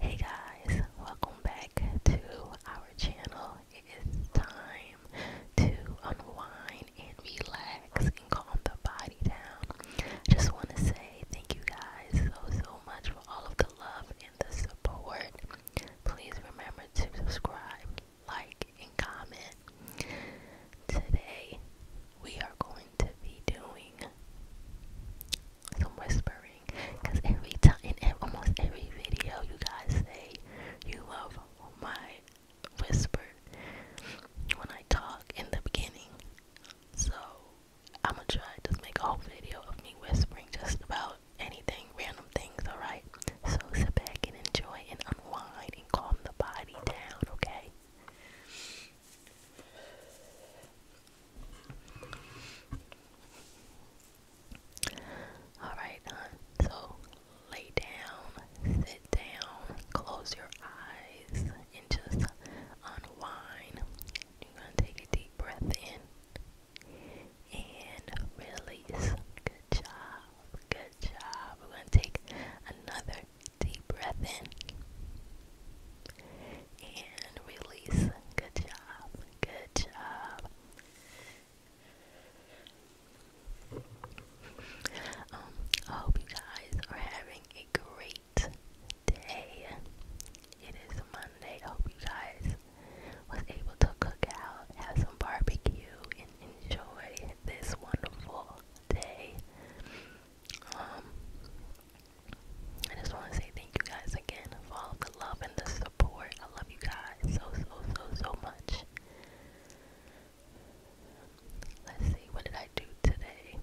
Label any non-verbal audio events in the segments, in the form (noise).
Hey guys, welcome back to our channel. It is time to unwind and relax and calm the body down. Just want to say thank you guys so so much for all of the love and the support. Please remember to subscribe, like, and comment. Today we are going to be doing I'm whispering because every time in almost every video you guys say you love my whisper when I talk in the beginning so I'm gonna try to make a whole video of me whispering just about anything random things alright so sit back and enjoy and unwind and calm the body down okay Alright, so lay down, sit down, close your eyes, and just unwind. You're going to take a deep breath in and release. Good job, good job. We're going to take another Deep breath in and release. Good job. Good job. Um, I hope you guys are having a great day. It is Monday. hope you guys was able to cook out, have some barbecue, and enjoy this wonderful day. Um, I just want to say thank you guys again for all of the love and the support. I love you guys so, so, so, so much. Let's see, what did I do today?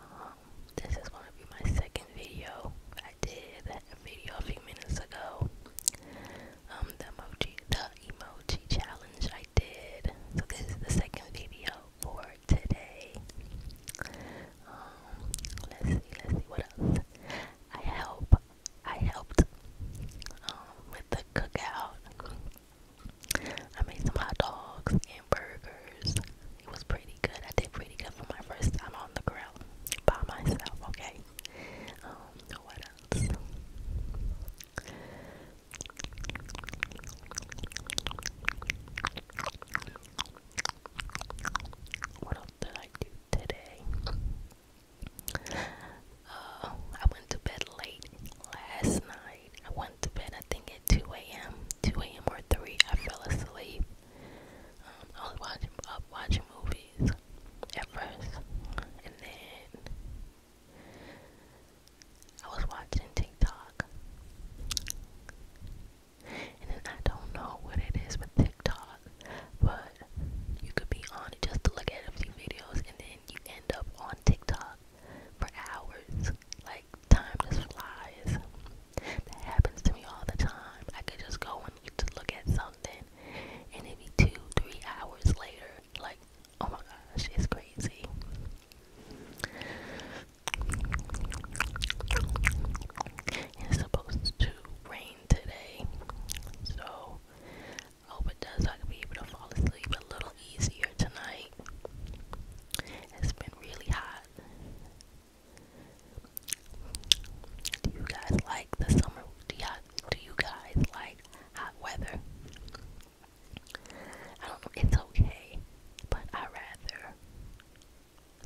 Um, this is going to be my second video. I did a video a few minutes ago. Um, the emoji, the emoji challenge I did. So this is the second video for today. Um, let's see, let's see what else. I helped. I helped um, with the cookout. I made some hot dogs and burgers. It was pretty good. I did pretty good for my first time on the grill by myself. Okay. Um, what else? What else did I do today? Uh, I went to bed late last night. I went to bed, I think, at 2 a.m. 2 a.m. or 3. I fell asleep. Um, I was watching, up watching movies at first, and then I was watching TikTok. And then I don't know what it is with TikTok, but you could be on it just to look at a few videos and then you end up on TikTok for hours. Like, time just flies. That happens to me all the time. I could just go and just look at something and it two, three hours later. Like, oh my gosh, it's crazy. It's supposed to rain today, so hope it does. So I can be able to fall asleep a little easier tonight. It's been really hot. Do you guys like the summer? Do, do you guys like hot weather? I don't know, it's okay, but I rather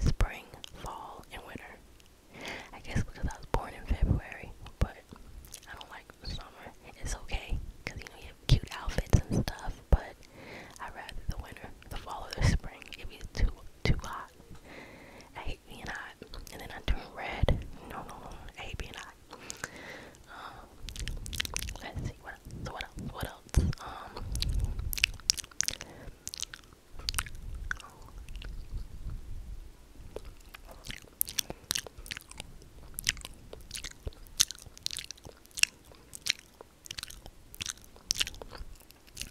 spring, fall, and winter. I guess because I was born in February, but I don't like summer. It's okay, because you know you have cute outfits and stuff, but I rather the winter, the fall, or the spring. It be too too hot. I hate being hot, and then I turn red. No, no, no, I hate being hot. Um, let's see what what else? What else? What else?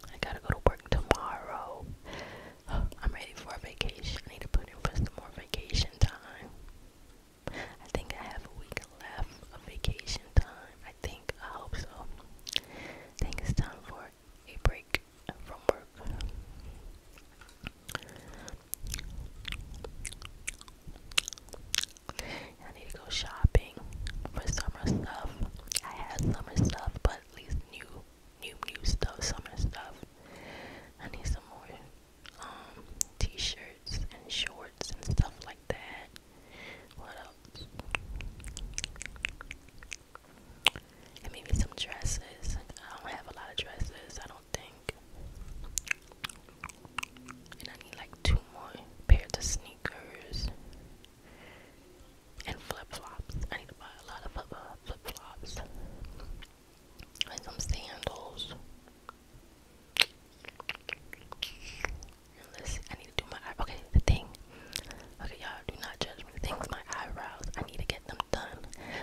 I gotta go to work tomorrow. (gasps) I'm ready for vacation. need to put in for some more vacation time. I think I have a week left of vacation time. I think, I hope so. I think it's time for a break from work. I need to go shopping for summer stuff. I had summer stuff, but these new, new, new stuff, summer stuff. I need some more um, t-shirts and shorts and stuff like that. What else? And maybe some dresses. I don't have a lot of dresses, I don't think. And I need like two more pairs of sneakers and flip flops. I need to buy a lot of uh, flip flops and some sandals. I need to do my eyebrows. Okay, the thing. Okay, y'all, do not judge me. The thing's my eyebrows. I need to get them done.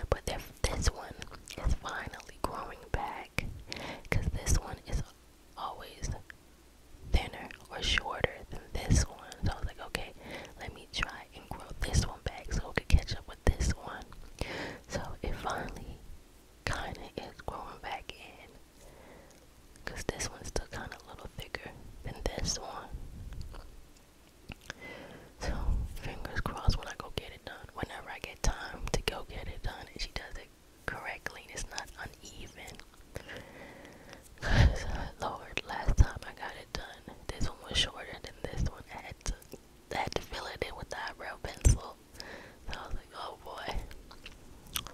But this one is finally growing back. Because this one is always thinner or shorter than this one. So I was like, okay, let me try and grow this one back so we can catch up with this one. So it finally kind of is growing back in because this one's still kind of a little thicker than this one. So, fingers crossed when I go get it done. Whenever I get time to go get it done, and she does it correctly, and it's not uneven. Cause, Lord, last time I got it done, this one was shorter than this one. I had to, had to fill it in with that eyebrow pencil. I was like, oh boy.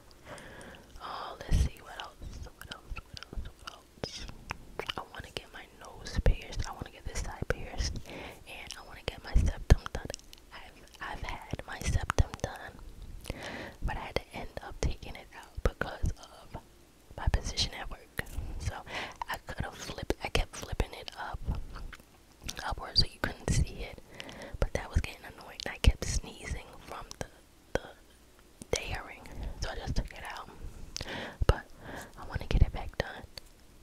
Oh, let's see what else. What else? What else? What else? I want to get my nose pierced. I want to get this side pierced, and I want to get my septum done. I've I've had my septum done, but I had to end up taking it out because of my position at work. So I could have flipped. I kept flipping it up upward so you couldn't see it. But that was getting annoying. I kept sneezing from the the dairing. So I just took it out. But I wanna get it back done.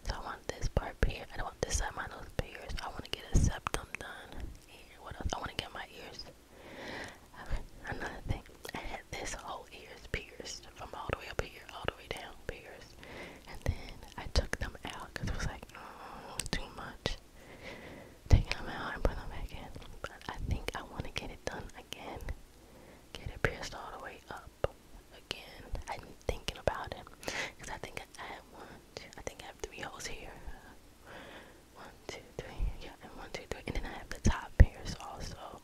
So I want this part here. I want this side of my nose pierced. I wanna get a septum done. what else? I wanna get my ears. Okay. Another thing. I had this whole ears pierced from all the way up here, all the way down, pierced and then I took them out because it was like mm, too much. Taking them out and putting them back in, but I think I want to get it done again. Get it pierced all the way up again. I'm thinking about it because I think I have one. I think I have three holes here. One, two, three. Yeah, one, two, three, and then I have the top pierced also.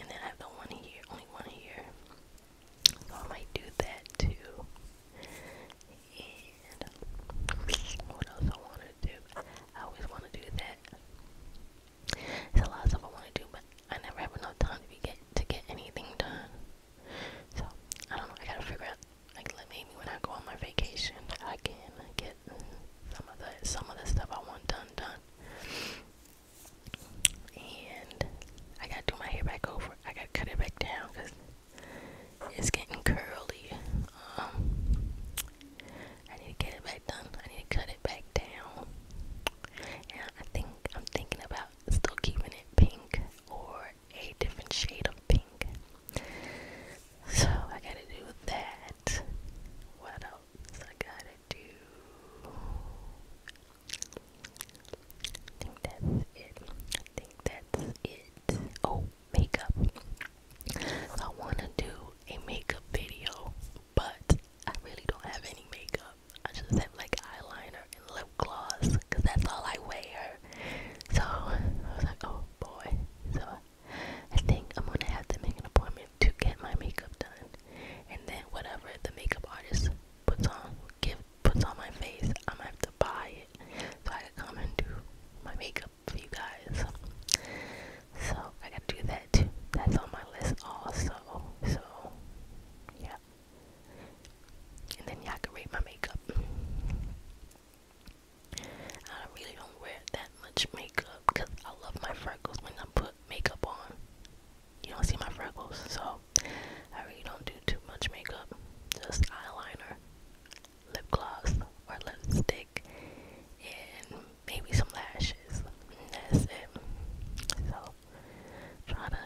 And then I have the one here, only one here. So I might do that too. And what else I want to do? I always want to do that. There's a lot of stuff I want to do, but I never have enough time to get to get anything done. So I don't know. I gotta figure out. Like, like maybe when I go on my vacation, I can get some of the some of the stuff I want done done. And I gotta do my hair back over. I gotta cut it back down it's getting curly. Um, I need to get it back done. I need to cut it back down. And I think I'm thinking about still keeping it pink or a different shade of pink. So I gotta do that. What else I gotta do? I think that's it. I think that's it. Oh, makeup. I want to do a makeup video, but I really don't have any makeup. I just have like eyeliner and lip gloss because that's all I wear. So I was like, oh boy. So I think I'm gonna have to make an appointment to get my makeup done, and then whatever the makeup artist puts on, give puts on my face, I'm gonna have to buy it so I can come and do my makeup for you guys. So I gotta do that too. That's on my list also. So yeah. And then y'all can rate my makeup. I really don't wear that much makeup because I love my freckles when I put makeup on you don't see my freckles, so I really don't do too much makeup. Just eyeliner, lip gloss, or lipstick, and maybe some lashes. that's it. So try to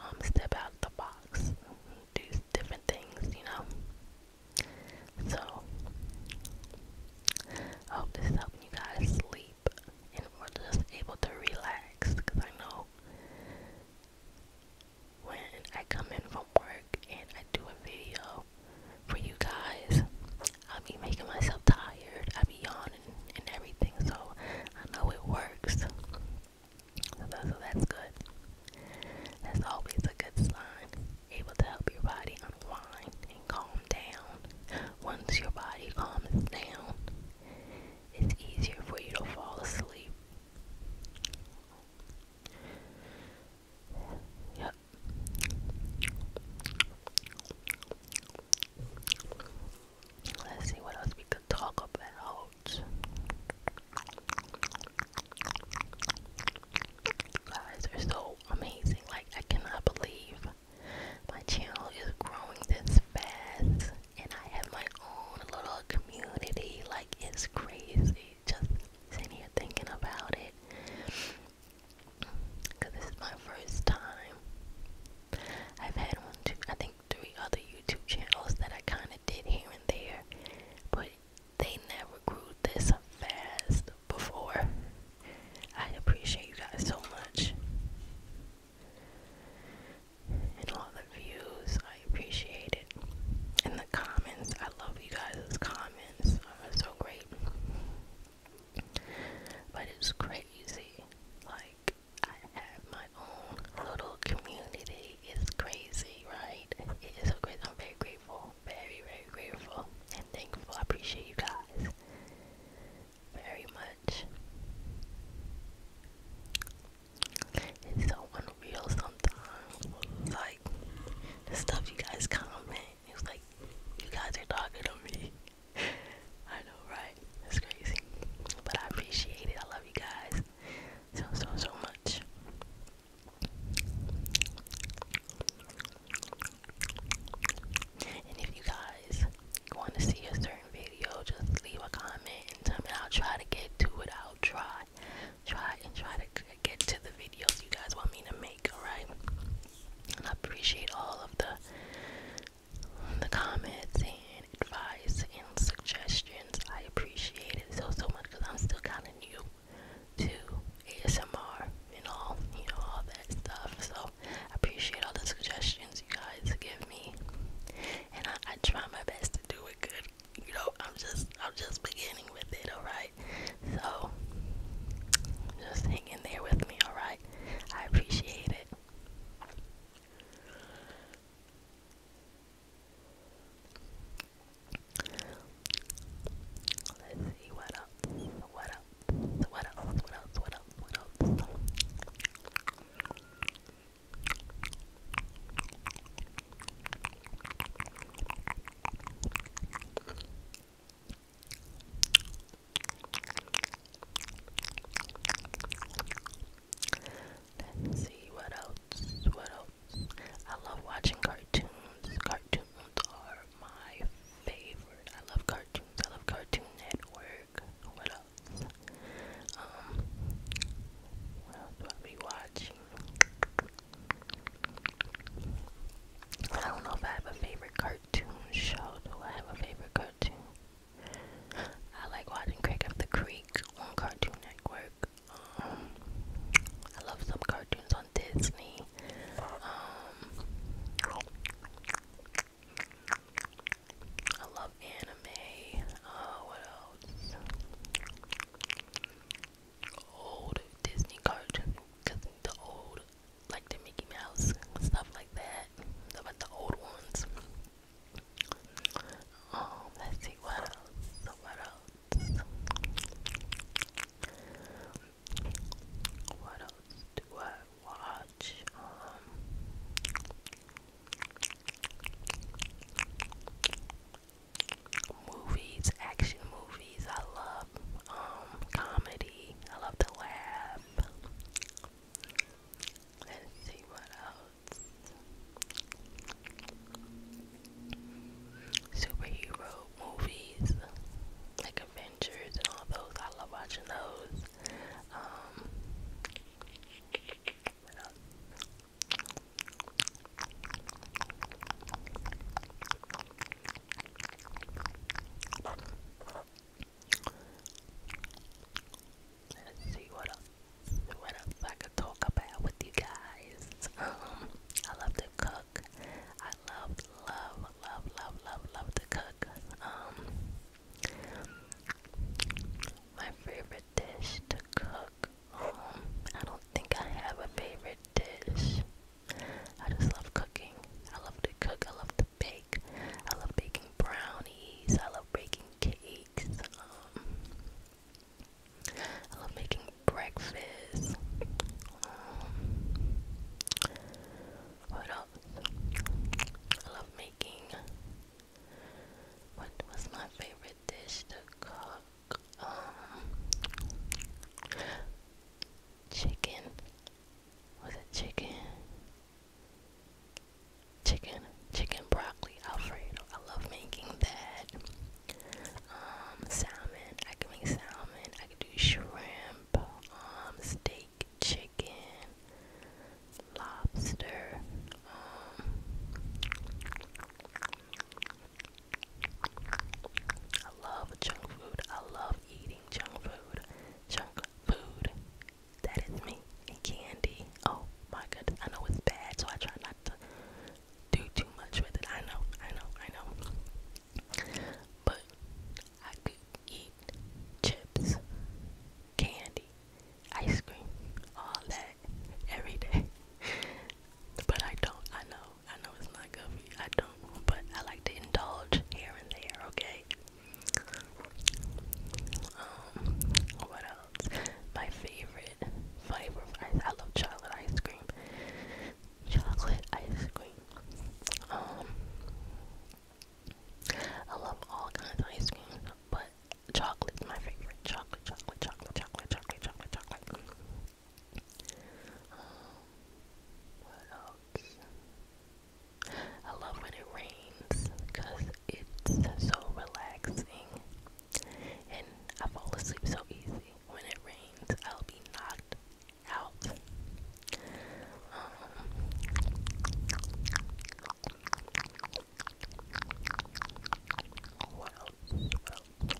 um step out the box, do different things, you know. So I hope this is helping you guys sleep and we're just able to relax because I know when I come in from work and I do a video for you guys, i be making myself tired. I'll be yawning and everything, so I know it works. so that's good. That's always a good sign. Able to help your body unwind and calm down. Once your body calms down, it's easier for you to fall asleep. Yep. Let's see what else we could talk about. guys are so amazing. Like, I cannot believe my channel is growing this fast and I have my own little community. Like it's crazy. Just sitting here thinking about it. Cause this is my first time. I've had one, two, I think three other YouTube channels that I kind of did here and there, but they never grew this fast before. I appreciate you guys so much and all the views. I appreciate it. And the comments. I love you guys' comments are so great. But it's crazy. Like, I have my own little community. It's crazy, right? It is so great. I'm very grateful. Very, very grateful and thankful. I appreciate you guys very much. It's so unreal sometimes. Like stuff you guys comment, it's like you guys are talking to me. I know, right? It's crazy. But I appreciate it. I love you guys so so so much. And if you guys want to see a certain video, just leave a comment and I'll try to get to it. I'll try, try, and try to get to the videos you guys want me to make. Alright, I appreciate all of the the comments and advice and suggestions. I appreciate it so so much because I'm still kind of new to ASMR and all you know all that stuff. So I appreciate all the suggestions you guys give me, and I, I try my best to do it good. You know, I'm just I'm just beginning with it. All right, so just hang in there with me. All right, I appreciate it. Let's see what else, what else, what else, what else, what else, what else. Let's see what else. What else? I love watching cartoons. Cartoons are my favorite. I love cartoons. I love Cartoon Network. What else? Um, what else I be watching? I don't know if I have a favorite cartoon show. Do I have a favorite cartoon? I like watching Craig of the Creek on Cartoon Network. Um, I love some cartoons on Disney. Um, I love anime. Oh, what else? Old Disney cartoons, cause the old, like the Mickey Mouse stuff like that. About the old ones. Um, let's see what else. What else? What else do I watch? much. Um, movies, action movies. I love um, comedy. I love to laugh. Let's see what else. Superhero movies, like Adventures and all those. I love watching those. Um, what else? Let's see what else, what else I could talk about with you guys. Um, I love to cook. I love, love, love, love, love, love to cook. Um, my favorite dish to cook. Hmm, I don't think I have a favorite dish. I just love cooking. I love to cook. I love to bake. I love baking brownies. I love baking cakes. Um, I love making breakfast. Um, what else? I love what was my favorite dish to cook? Um, chicken. Was it chicken? Chicken, chicken broccoli Alfredo. I love making that. Um, salmon. I can make salmon. I can do shrimp. Um, steak chicken, lobster, um, I love junk food. I love eating junk food. Junk food. That is me. candy. Oh my goodness. I know it's bad, so I try not to do too much with it. I know, I know, I know. But I could eat chips candy, ice cream, all that every day. (laughs) but I don't. I know. I know it's not good for you. I don't. But I like to indulge here and there. Okay. Um. What else? My favorite flavor of I love chocolate ice cream. Chocolate ice cream. Um. I love all kinds of ice cream, but chocolate's my favorite. Chocolate, chocolate, chocolate, chocolate, chocolate, chocolate, chocolate. Um, what else? I love when it rains because it's so relaxing and I fall asleep so easy. When it rains, I'll be knocked out. Um, what else? What else? Um,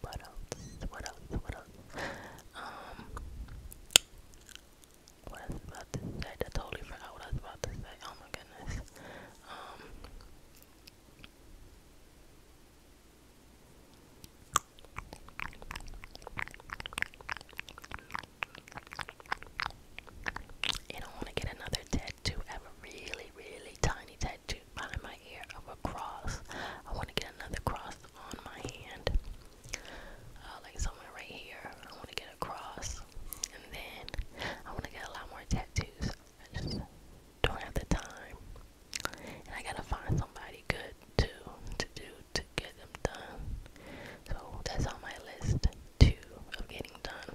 what else? What else? What else? Um, what I was about to say. I totally forgot what I about to Oh my goodness. Um. You want to get another tattoo. I have a really, really tiny tattoo behind my ear of a cross. I want to get another cross on my hand, uh, like somewhere right here. I want to get a cross, and then I want to get a lot more tattoos. I just don't have the time, and I gotta find somebody good to to do to get them done. So that's on my list too of getting done.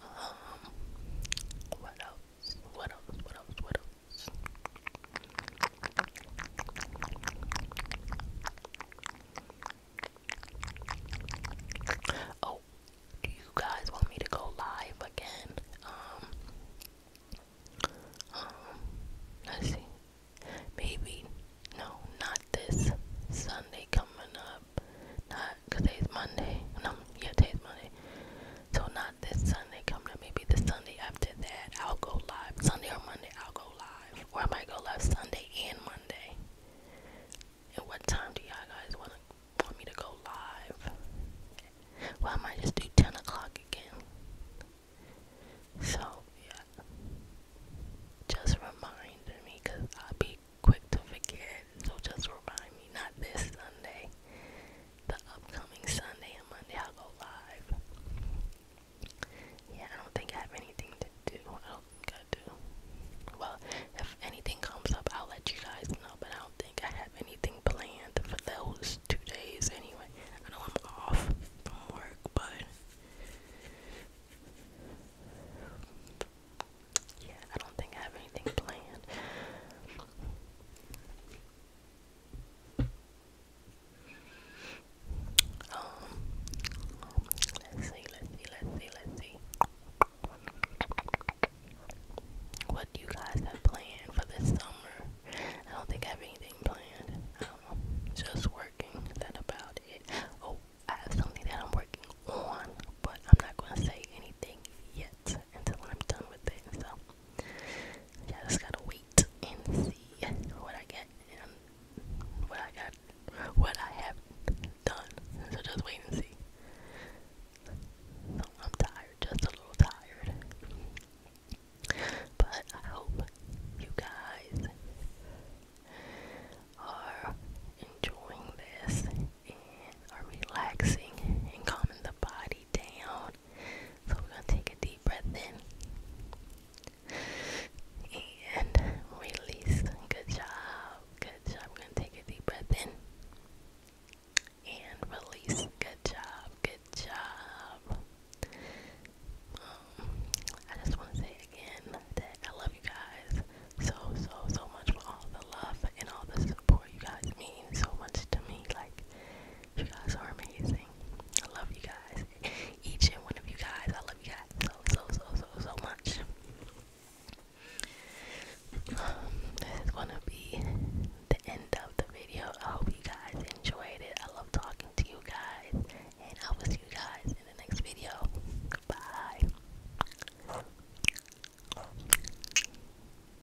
Um, what else? What else? What else? What else? Oh, do you guys want me to go live again? Um, um, let's see. Maybe no, not this Sunday coming up. Not because Monday. No, yeah, today's Monday. So not this Sunday coming up, maybe the Sunday after that I'll go live. Sunday or Monday I'll go live. Or I might go live Sunday and Monday. And what time do y'all guys want want me to go live? Well I might just do ten o'clock again. So yeah. Just remind me because I'll be quick to forget. So just remind me, not this Sunday the upcoming Sunday and Monday I'll go live. Yeah, I don't think I have anything to do. I don't think I do. Well, if anything comes up, I'll let you guys know, but I don't think I have anything planned for those two days anyway. I know I'm off from work, but yeah, I don't think I have anything planned let's see, let's see, let's see, let's see. What do you guys have planned for this summer? I don't think I have anything planned. I don't know. Just working. That about it. Oh, I have something that I'm working on, but I'm not gonna say anything yet it until I'm done with it. So yeah, just gotta wait and see what I get and what I got, what I have done. So just wait and see. So I'm tired, just a little tired. But I hope you guys are enjoying this and are relaxing and calming the body down so we're gonna take a deep breath in and release. Good job. Good job. We're gonna take a deep breath in and release. Good job. Good job. Um, I just want to say again that I love you guys so so so much for all the love and all the support you guys mean so much to me. Like you guys are amazing. I love you guys. Each and one of you guys. I love you guys so, so, so, so, so much. this is gonna be the end of the video. I hope you guys enjoyed it. I love talking to you guys, and I will see you guys in the next video. Bye.